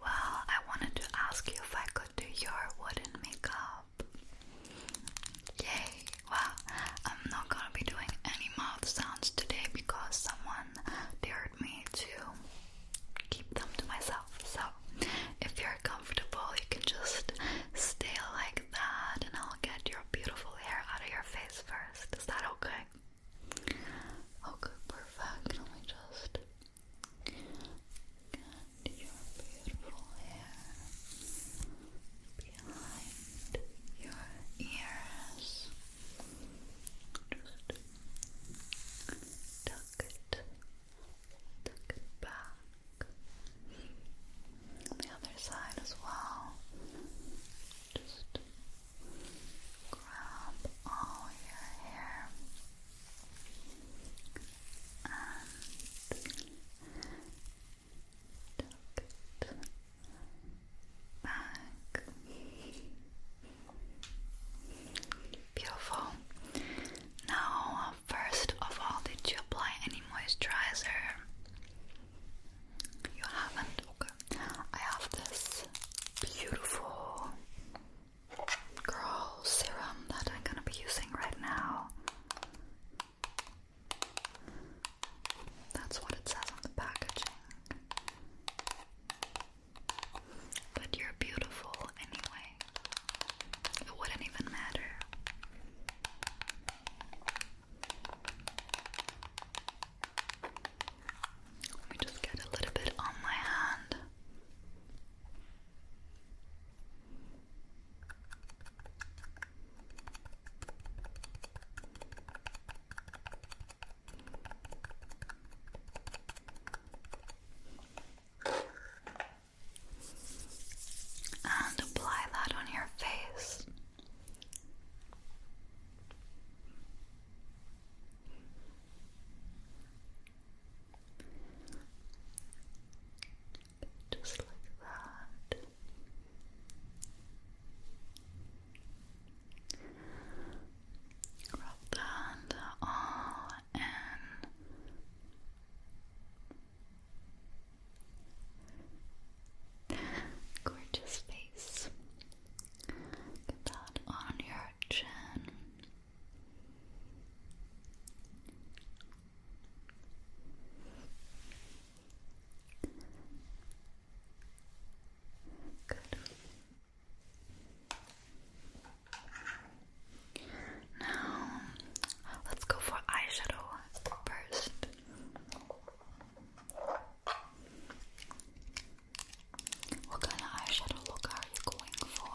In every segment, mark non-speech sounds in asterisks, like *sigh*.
Well, I wanted to ask you if I could do your wooden makeup. Yay! Well, I'm not gonna be doing any mouth sounds today because someone dared me to keep them to myself. So, if you're comfortable, you can just stay like that and I'll get your beautiful hair out of your face first. Is that okay? Okay, perfect. Let me just and your beautiful hair behind your ears. Just tuck it, tuck it back. the other side as well. Just grab all your hair back. Beautiful. Now, first of all, did you apply any moisturizer? You haven't? I have this beautiful Girl serum that I'm gonna be using right now. That's what it says on the packaging. But you're beautiful anyway. It wouldn't even matter. Let me just get a little bit on my hand. And apply that on your face. Just like that. Rub that all in. Gorgeous face. Get that on your chin. Now, let's go for eyeshadow first. What kind of eyeshadow look are you going for?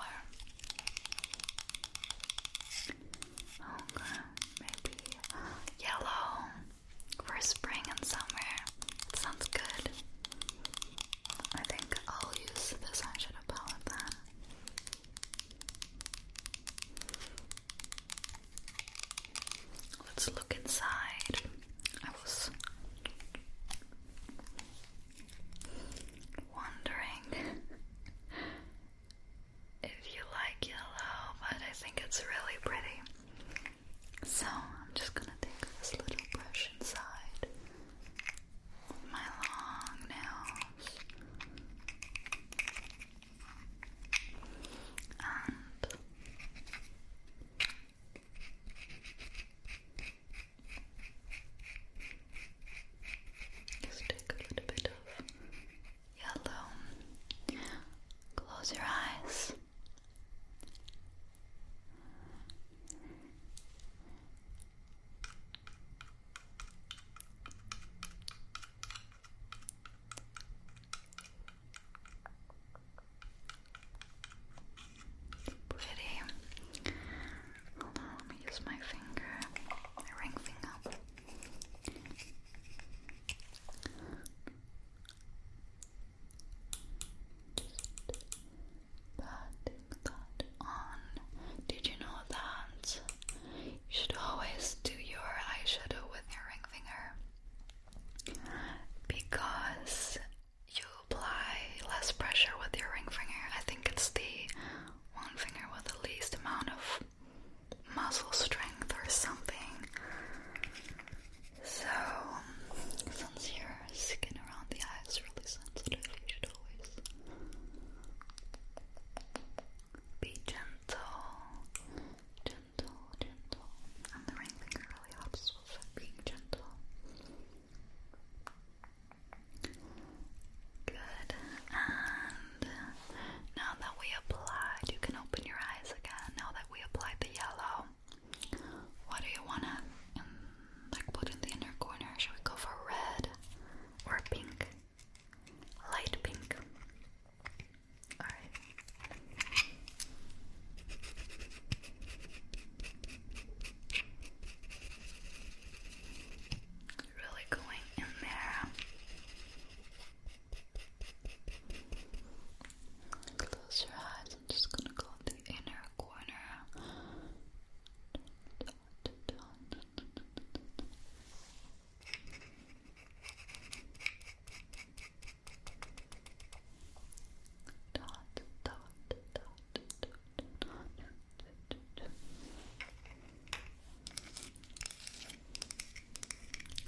maybe yellow for spring and summer. That sounds good. I think I'll use this eyeshadow palette Let's look inside. I was wondering if you like yellow, but I think it's really pretty. So I'm just gonna take this little brush inside my long nails just take a little bit of yellow. Close your eyes. Pretty. Hold let me use my finger, my ring finger. Patting that on. Did you know that you should always do your eyeshadow with your ring finger? Because you apply less pressure with your ring finger. I think it's the one finger with the least amount of muscle strength or something. So, since your skin around the eye is really sensitive, you should always be gentle, gentle, gentle. And the ring finger really helps with being gentle. Good. And now that we applied, you can open your eyes again. Now that we applied the yellow, what do you wanna like put in the inner corner? Should we go for red or pink? Light pink. Alright. Really going in there. Close your eyes. I'm just gonna go in the inner corner. Dot, dot, dot.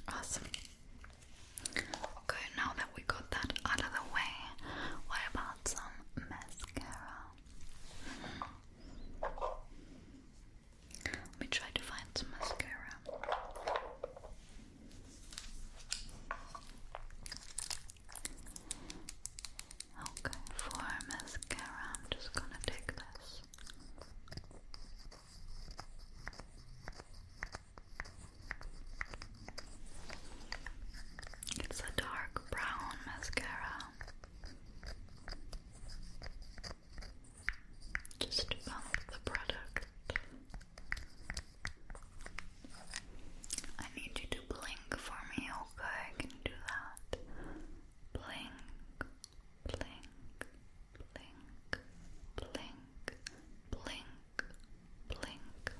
Awesome. Okay, now that we got that out of the way, what about some mascara? Let me try to find some mascara. Okay, for mascara, I'm just gonna take this. It's a dark brown mascara. Just to the product. I need you to blink for me, okay? Can do that? Blink, blink, blink, blink, blink, blink. Blink,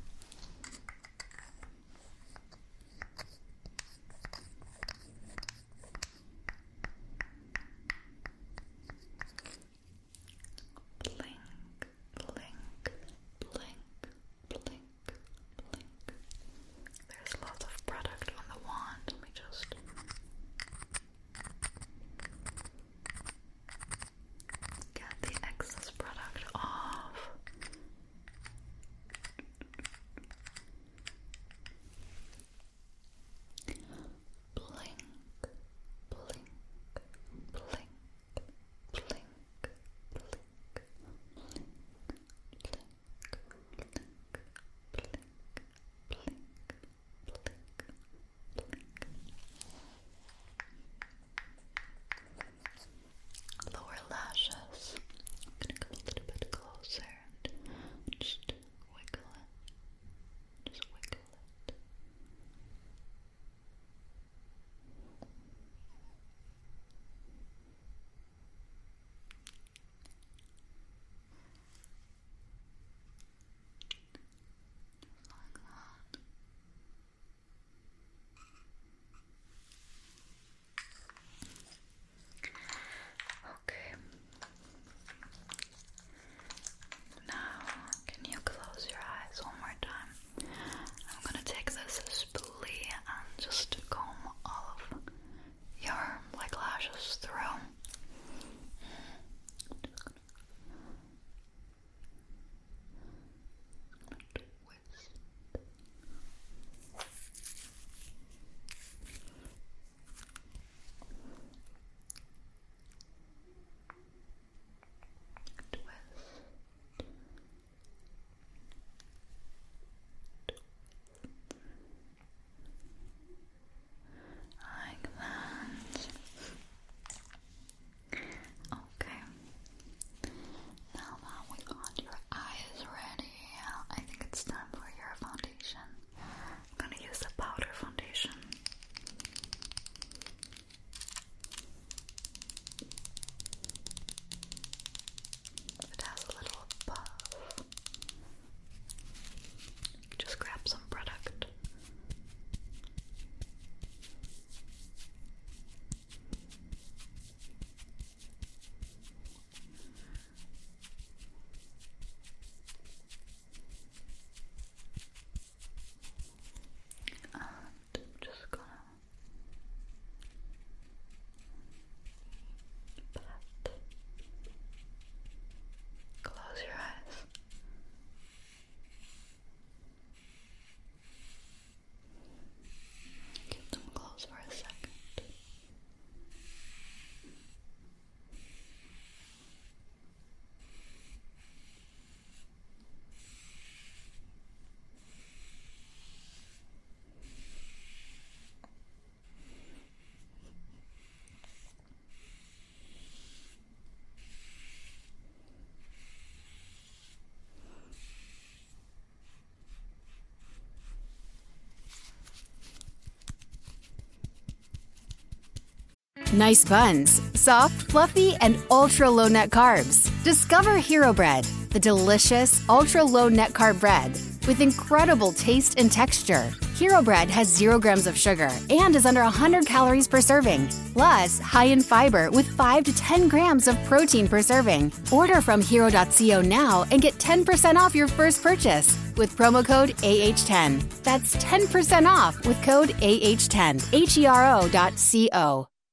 blink, blink, blink, there's lots of product on the wand. Let me just. Get the excess product off. Blink, blink, blink, blink, Lower lashes. I'm gonna come a little bit closer and just wiggle it. Just wiggle it. Just like that. Okay. Now, can you close your eyes one more time? I'm gonna take this spoolie and just comb all of your like lashes through. Just gonna, gonna Twist. Twist. Like that. Okay. Now that we got your eyes ready, I think it's time for your foundation. I'm gonna use the powder foundation. If it has a little puff, just grab some product just gonna pat. Close your eyes. Keep them closed for a second. Nice buns, soft fluffy, and ultra low net carbs. Discover Hero Bread, the delicious ultra low net carb bread with incredible taste and texture. Hero Bread has zero grams of sugar and is under 100 calories per serving, plus high in fiber with 5 to 10 grams of protein per serving. Order from hero.co now and get 10% off your first purchase with promo code AH10. That's 10% off with code AH10. H E R O.co.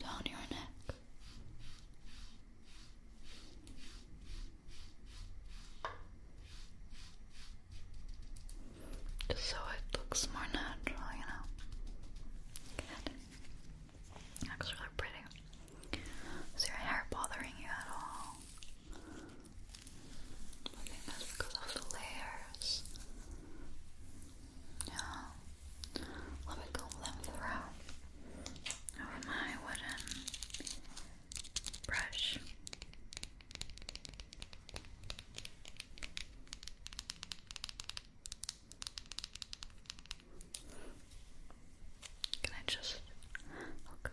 down your neck so it looks more natural, you know. Good. Looks really pretty. Is your hair bothering you at all? I think that's because of the layers. Yeah. Let me go them through of my wooden brush. Can I just look?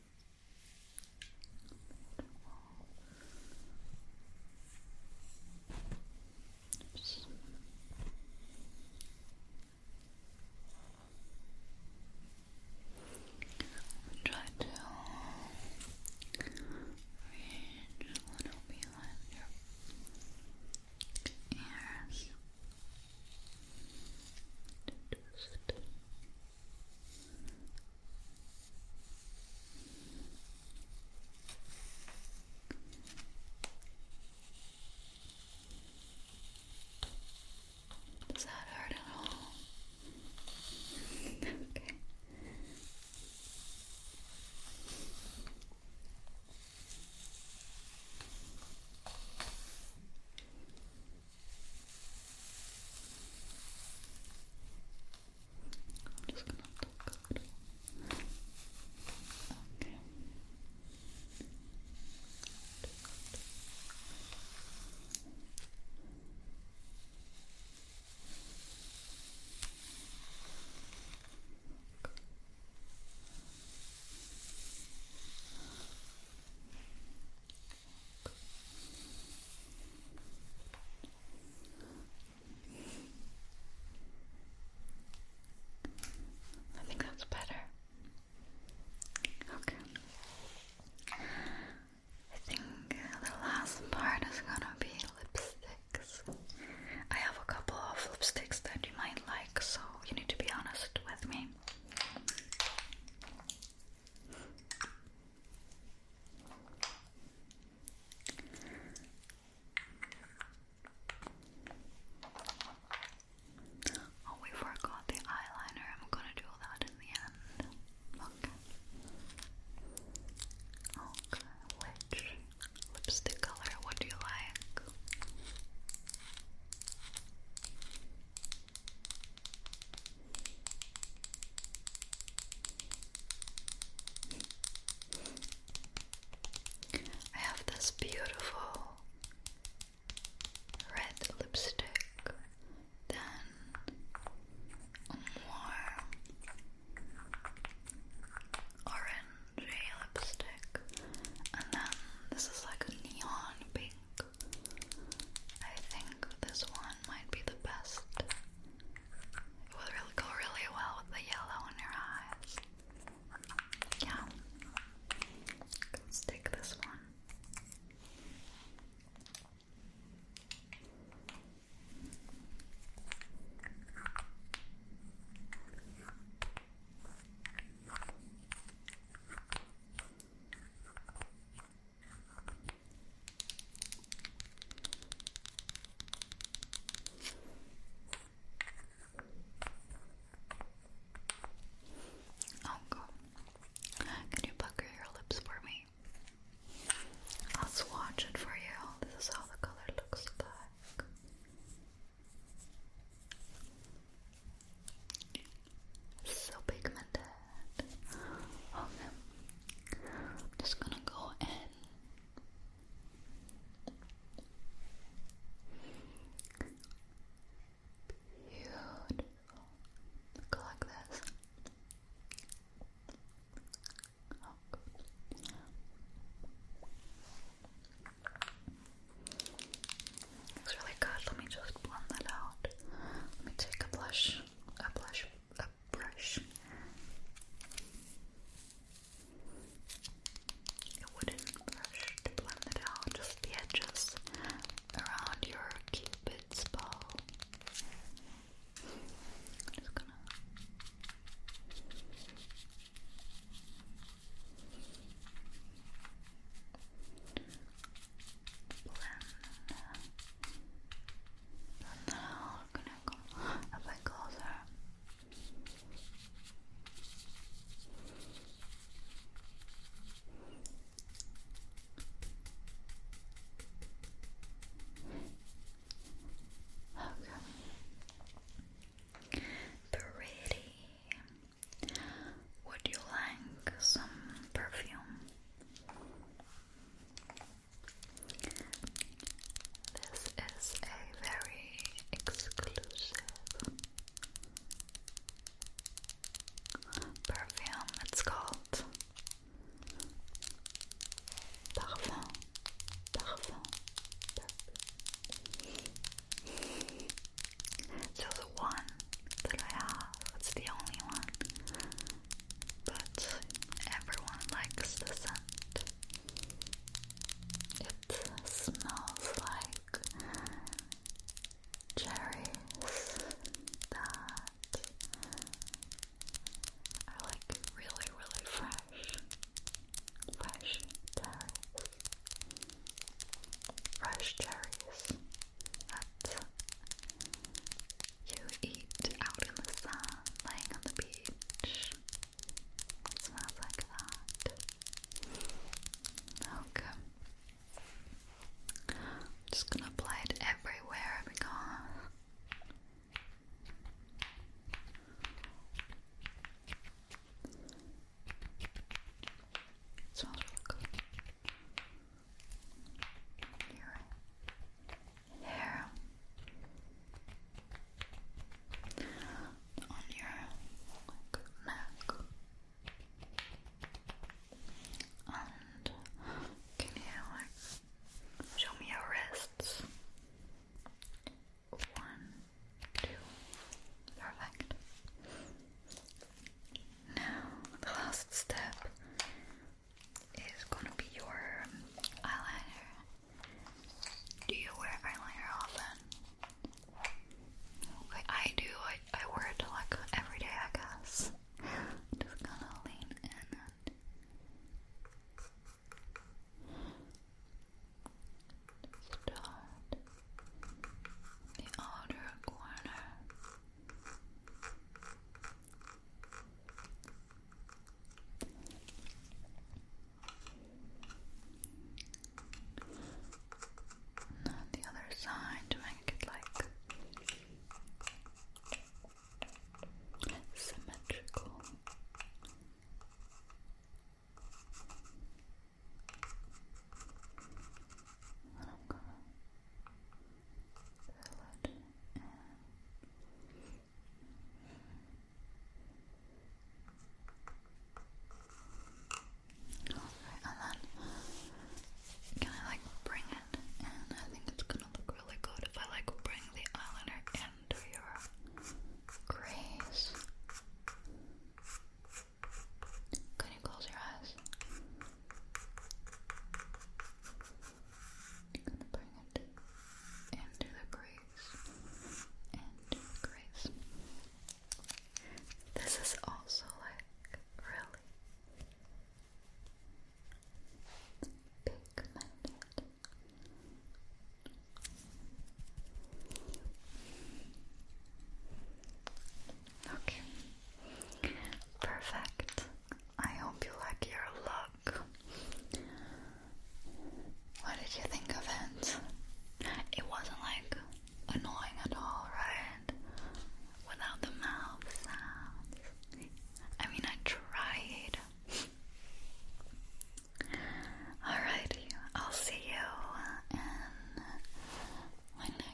Oops. Try to reach a little behind your ears. Just does that hurt at all? *laughs* I'm just gonna talk a little. Okay. Okay. I think that's better. Okay. I think the last part is gonna be lipsticks. I have a couple of lipsticks that you might like, so you need to be honest with me. Oh, we forgot the eyeliner. I'm gonna do that in the end. Okay. Okay, which lipstick color would you like? I have this beautiful red lipstick, then more orangey lipstick, and then this is like a neon pink I think this one might be the best. It will really go really well with the yellow in your eyes. Yeah. let this one. Oh Can you pucker your lips for me? I'll swatch it for you. This is how the color looks like so pigmented. Okay, i just gonna go in. Beautiful. like this. Oh, Looks really good. Let me just blend that out. Let me take a blush, a blush, a brush. A wooden brush to blend it out, just the edges around your cupid's bow. just gonna blend. And now I'm gonna come a bit closer. Okay. Pretty. Would you like some perfume? This is a very exclusive perfume. It's called Parfum. Parfum. So the one that I have, it's the only one. But everyone likes the scent. It smells like cherries that are like really, really fresh. Fresh cherries fresh cherries that you eat out in the sun, laying on the beach. It smells like that. Okay. I'm just gonna apply it everywhere because it smells really good your hair on your neck. And can you show me your wrists? One, two, perfect. Now, the last step is gonna be your eyeliner. Do you wear eyeliner often? I do. I, wear it like every day, I guess. just gonna lean in and. Start the outer corner. Not the other side to make it like symmetrical. And I'm gonna fill it and then can I like bring it in? I think it's gonna look really good if I like bring the eyeliner into your crease. Can you close your eyes? I'm gonna bring it into the crease. Into the crease. This is also like really pigmented. Okay. Perfect. I hope you like your look. What did you think of it? It wasn't like annoying at all, right? Without the mouth sounds. I mean, I tried. Alrighty, I'll see you in